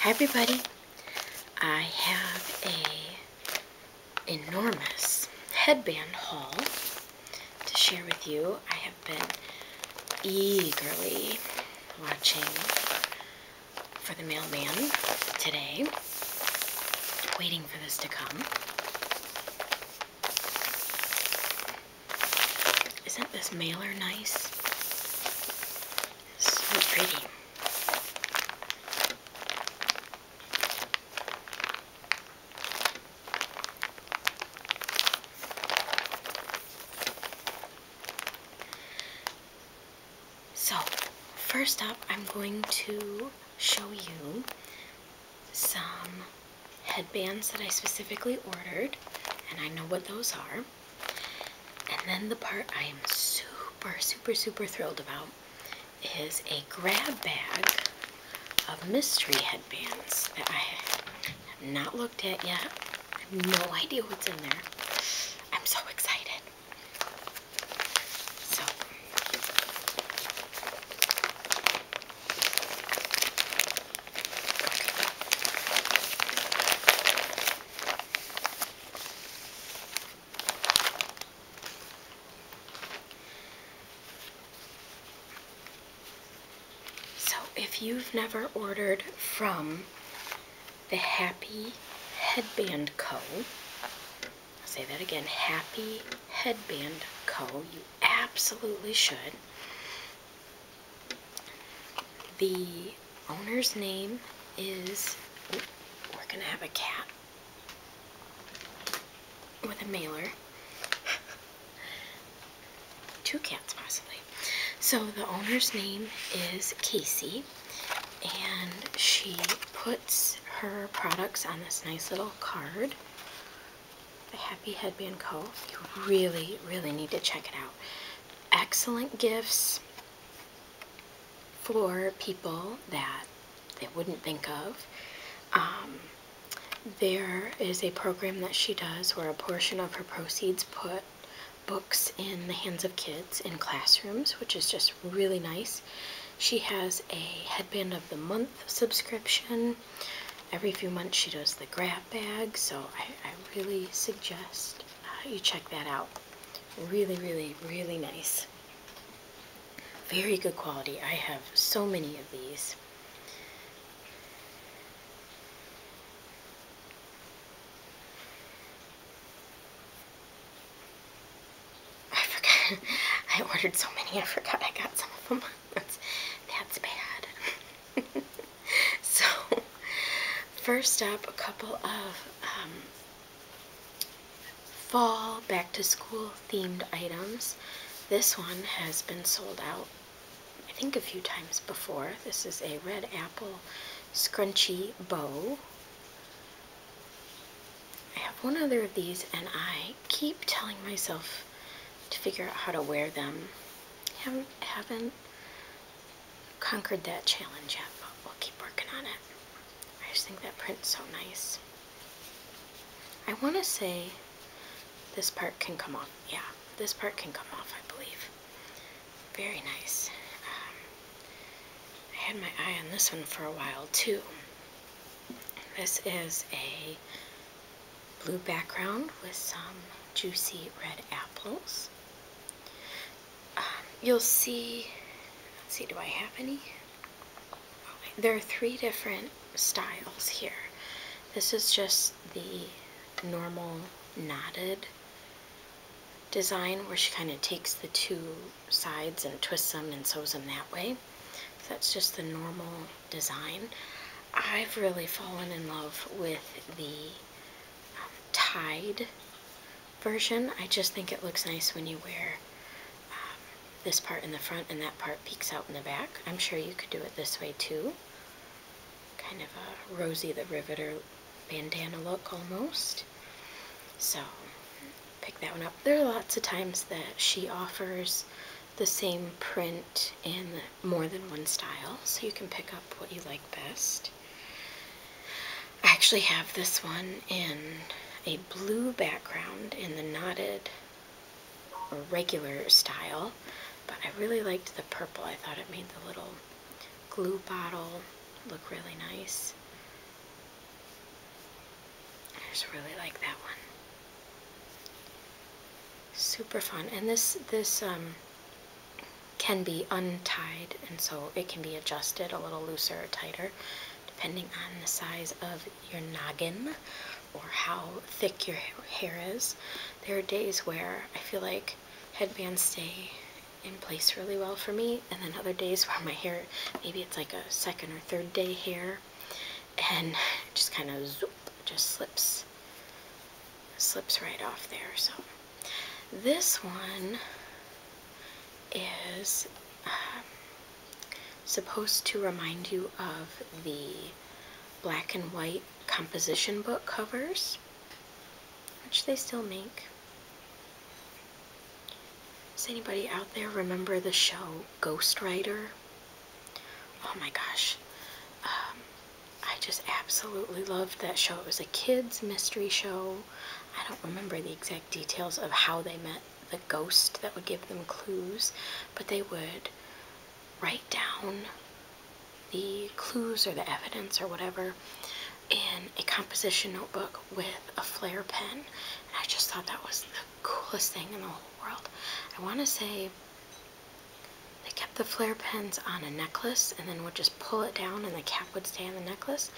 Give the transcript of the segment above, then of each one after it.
Hi everybody. I have a enormous headband haul to share with you. I have been eagerly watching for the mailman today, waiting for this to come. Isn't this mailer nice? So pretty. So, first up, I'm going to show you some headbands that I specifically ordered, and I know what those are. And then the part I am super, super, super thrilled about is a grab bag of mystery headbands that I have not looked at yet. I have no idea what's in there. I'm so excited. So, so if you've never ordered from the Happy Headband Co., say that again, Happy Headband Co., you absolutely should. The owner's name is. we're gonna have a cat with a mailer. Two cats, possibly. So the owner's name is Casey, and she puts her products on this nice little card. The Happy Headband Co. You really, really need to check it out excellent gifts for people that they wouldn't think of. Um, there is a program that she does where a portion of her proceeds put books in the hands of kids in classrooms, which is just really nice. She has a headband of the month subscription. Every few months she does the grab bag, so I really suggest uh, you check that out. Really, really, really nice. Very good quality. I have so many of these. I forgot. I ordered so many, I forgot I got some of them. that's bad. so, first up, a couple of um, fall back to school themed items. This one has been sold out, I think, a few times before. This is a red apple scrunchy bow. I have one other of these, and I keep telling myself to figure out how to wear them. haven't conquered that challenge yet, but we'll keep working on it. I just think that print's so nice. I want to say this part can come off. Yeah, this part can come off, I believe. Very nice. Um, I had my eye on this one for a while, too. This is a blue background with some juicy red apples. Um, you'll see, see, do I have any? There are three different styles here. This is just the normal knotted design where she kind of takes the two sides and twists them and sews them that way. that's just the normal design. I've really fallen in love with the tied version. I just think it looks nice when you wear um, this part in the front and that part peeks out in the back. I'm sure you could do it this way too. Kind of a rosy the Riveter bandana look almost. So pick that one up. There are lots of times that she offers the same print in more than one style, so you can pick up what you like best. I actually have this one in a blue background in the knotted regular style, but I really liked the purple. I thought it made the little glue bottle look really nice. I just really like that one. Super fun. And this, this um, can be untied and so it can be adjusted a little looser or tighter depending on the size of your noggin or how thick your hair is. There are days where I feel like headbands stay in place really well for me and then other days where my hair, maybe it's like a second or third day hair and just kind of zoop, just slips, slips right off there. So this one is um, supposed to remind you of the black and white composition book covers, which they still make. Does anybody out there remember the show Ghostwriter? Oh my gosh. Um, I just absolutely loved that show. It was a kids' mystery show. I don't remember the exact details of how they met the ghost that would give them clues, but they would write down the clues or the evidence or whatever in a composition notebook with a flare pen. I just thought that was the coolest thing in the whole world. I want to say the the flare pins on a necklace and then would just pull it down and the cap would stay on the necklace,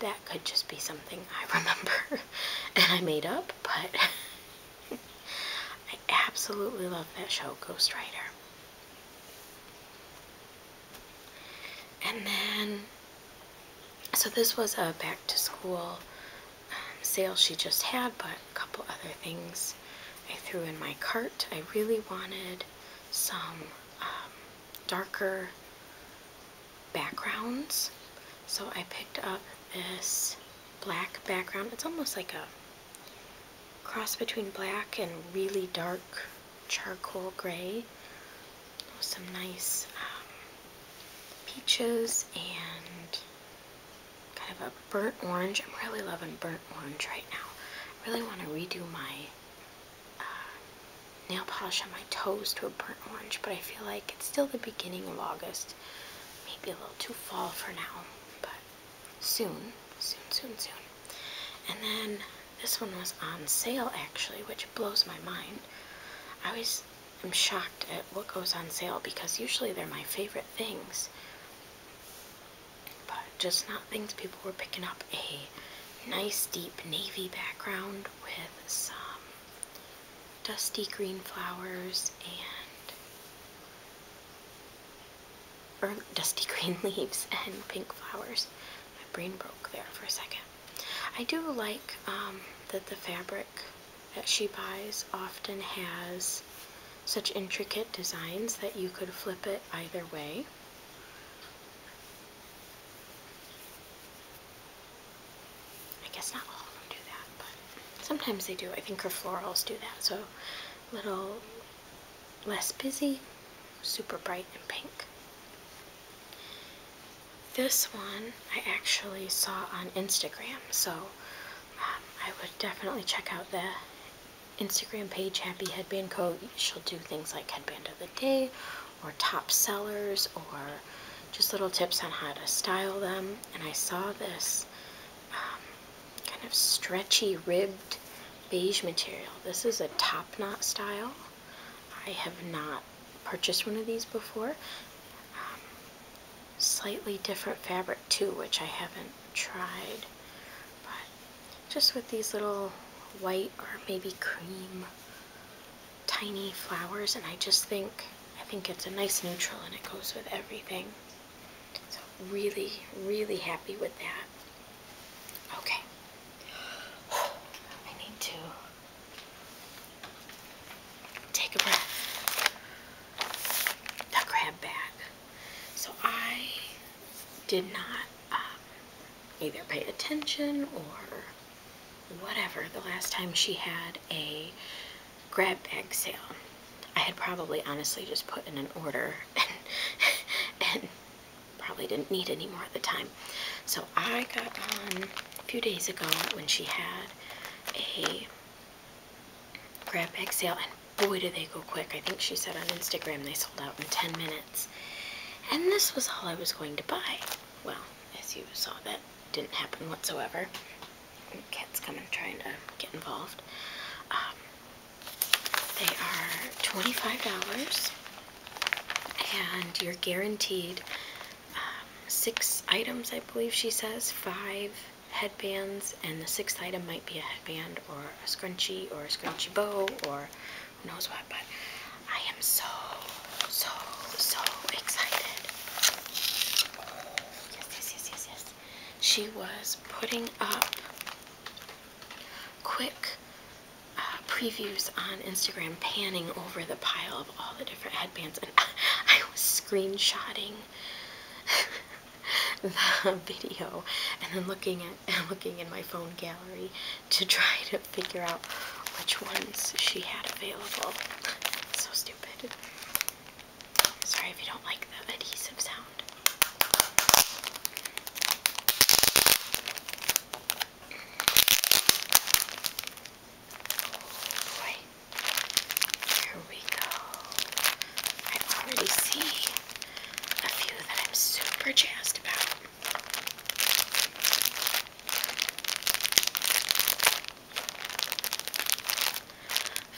that could just be something I remember and I made up, but I absolutely love that show, Ghost Rider. And then, so this was a back to school um, sale she just had, but a couple other things I threw in my cart. I really wanted some um, darker backgrounds. So I picked up this black background. It's almost like a cross between black and really dark charcoal gray. Some nice um, peaches and kind of a burnt orange. I'm really loving burnt orange right now. I really want to redo my uh, nail polish on my toes to a burnt orange, but I feel like it's still the beginning of August. Maybe a little too fall for now, but soon, soon, soon, soon. And then this one was on sale actually, which blows my mind. I always am shocked at what goes on sale because usually they're my favorite things but just not things people were picking up a nice deep navy background with some dusty green flowers and or dusty green leaves and pink flowers. My brain broke there for a second. I do like um, that the fabric that she buys often has such intricate designs that you could flip it either way. I guess not all of them do that, but sometimes they do. I think her florals do that, so a little less busy, super bright and pink. This one I actually saw on Instagram, so um, I would definitely check out the Instagram page Happy Headband Co. She'll do things like headband of the day or top sellers or just little tips on how to style them. And I saw this um, kind of stretchy ribbed beige material. This is a top knot style. I have not purchased one of these before. Um, slightly different fabric too, which I haven't tried. But just with these little white or maybe cream tiny flowers and I just think I think it's a nice neutral and it goes with everything so really really happy with that okay I need to take a breath the grab bag so I did not um, either pay attention or whatever the last time she had a grab bag sale. I had probably honestly just put in an order and, probably didn't need any more at the time. So I got on a few days ago when she had a grab bag sale and boy do they go quick. I think she said on Instagram they sold out in 10 minutes. And this was all I was going to buy. Well, as you saw, that didn't happen whatsoever. Cat's kind of trying to get involved. Um, they are $25, and you're guaranteed um, six items, I believe she says, five headbands, and the sixth item might be a headband or a scrunchie or a scrunchie bow or knows what, but I am so, so, so excited. Yes, yes, yes, yes, yes. She was putting up quick uh, previews on Instagram, panning over the pile of all the different headbands, and I, I was screenshotting. the video and then looking at looking in my phone gallery to try to figure out which ones she had available. so stupid. Sorry if you don't like the adhesive sound. Oh boy. Here we go. I already see a few that I'm super jazzed about.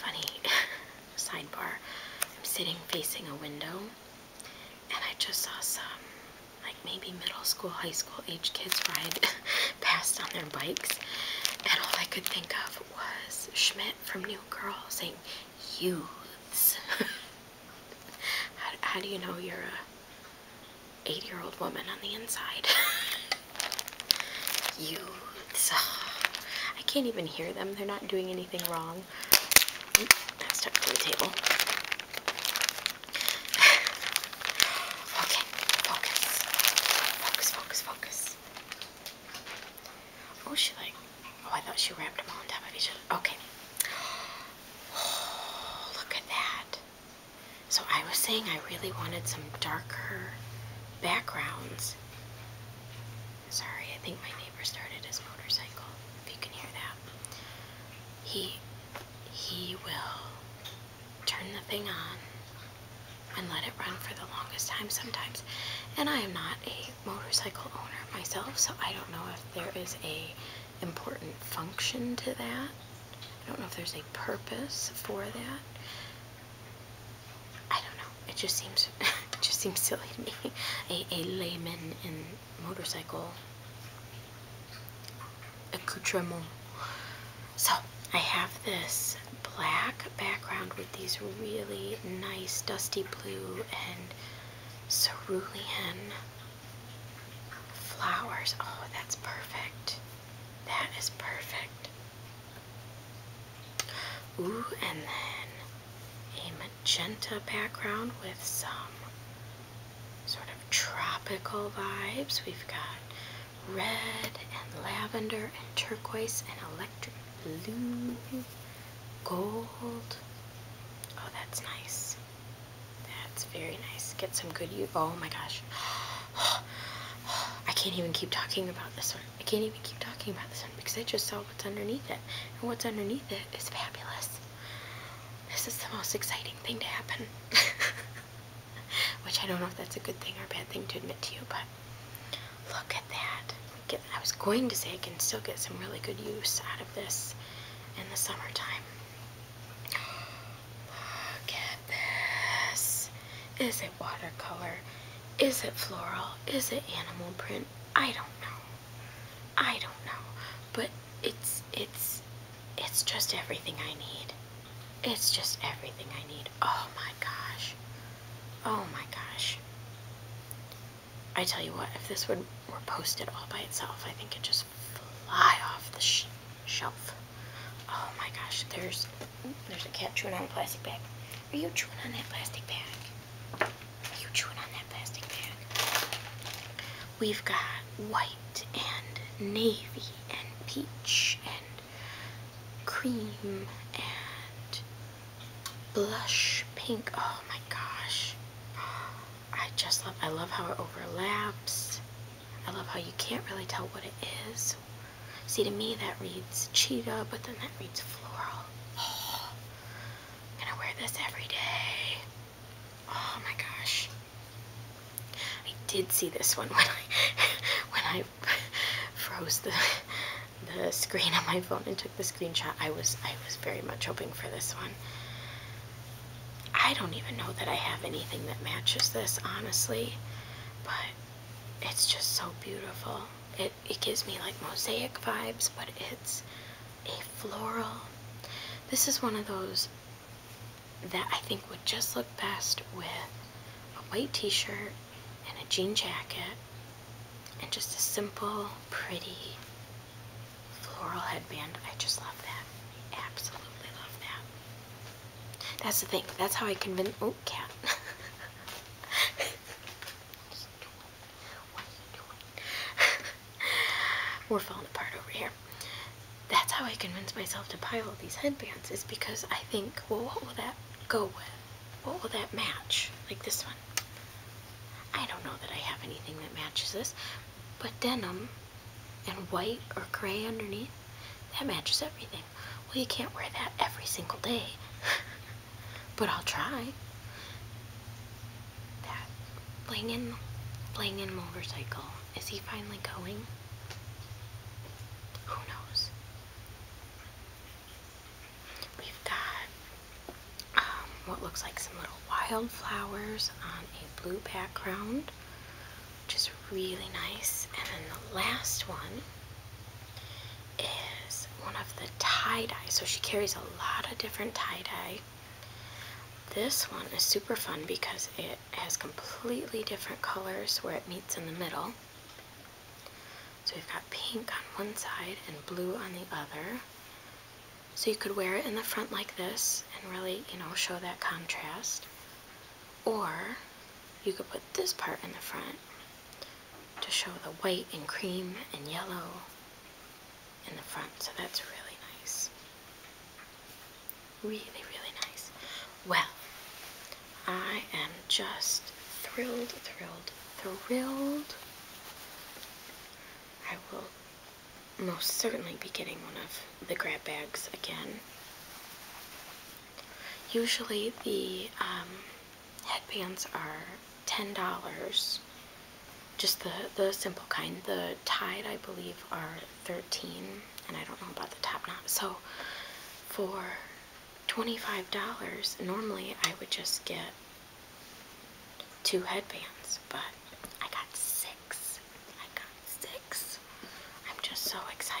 Funny sidebar, I'm sitting facing a window and I just saw some, like maybe middle school, high school age kids ride past on their bikes. And all I could think of was Schmidt from New Girl saying, youths. How, do you know you're a 8 year old woman on the inside? Youths. Uh, I can't even hear them. They're not doing anything wrong. that's stuck to the table. okay, focus. Focus, focus, focus. Oh, she like Oh, I thought she wrapped them all on top of each other. Okay. look at that. So I was saying I really wanted some darker backgrounds. Sorry, I think my neighbor started his motorcycle. If you can hear that. He he will turn the thing on and let it run for the longest time sometimes. And I am not a motorcycle owner myself, so I don't know if there is a important function to that. I don't know if there's a purpose for that. I don't know. It just seems it just seems silly to me. A a layman in motorcycle accoutrement. So I have this black background with these really nice dusty blue and cerulean Flowers. Oh, that's perfect. That is perfect. Ooh, and then a magenta background with some sort of tropical vibes. We've got red and lavender and turquoise and electric blue, gold. Oh, that's nice. That's very nice. Get some good use. Oh my gosh. I can't even keep talking about this one. I can't even keep talking about this one because I just saw what's underneath it. And what's underneath it is fabulous. This is the most exciting thing to happen. Which I don't know if that's a good thing or a bad thing to admit to you, but look at that. I was going to say I can still get some really good use out of this in the summertime. Look at this. Is it watercolor? Is it floral? Is it animal print? I don't know. I don't know. But it's it's it's just everything I need. It's just everything I need. Oh my gosh. Oh my gosh. I tell you what, if this would, were posted all by itself, I think it'd just fly off the shelf. Oh my gosh, there's there's a cat chewing on a plastic bag. Are you chewing on that plastic bag? Are you chewing on that plastic bag? We've got white and navy and peach and cream and blush pink. Oh my gosh. I just love, I love how it overlaps. I love how you can't really tell what it is. See, to me that reads cheetah, but then that reads floral. I'm gonna wear this every day. Oh my gosh. I did see this one when I, when I froze the, the screen on my phone and took the screenshot. I was, I was very much hoping for this one. I don't even know that I have anything that matches this, honestly. But it's just so beautiful. It, it gives me like mosaic vibes, but it's a floral. This is one of those that I think would just look best with a white t-shirt and a jean jacket and just a simple, pretty floral headband. I just love that. I absolutely love that. That's the thing. That's how I convince. Oh, cat. what are you doing? We're falling apart over here. That's how I convince myself to buy all these headbands is because I think, well, what will that go with? What will that match? Like this one. I don't know that I have anything that matches this, but denim and white or gray underneath, that matches everything. Well, you can't wear that every single day. but I'll try. That Blangen, Blangen motorcycle. Is he finally going? Who knows? We've got um, what looks like some little wildflowers on a blue background, which is really nice. And then the last one is one of the tie-dye. So she carries a lot of different tie-dye. This one is super fun because it has completely different colors where it meets in the middle. So we've got pink on one side and blue on the other. So you could wear it in the front like this and really, you know, show that contrast. Or you could put this part in the front to show the white and cream and yellow in the front. So that's really nice. Really, really nice. Well, I am just thrilled, thrilled, thrilled. I will most certainly be getting one of the grab bags again. Usually the um, headbands are $10, just the, the simple kind. The tied, I believe, are 13 and I don't know about the top knot. So for $25, normally I would just get two headbands, but I got six. I got six. I'm just so excited.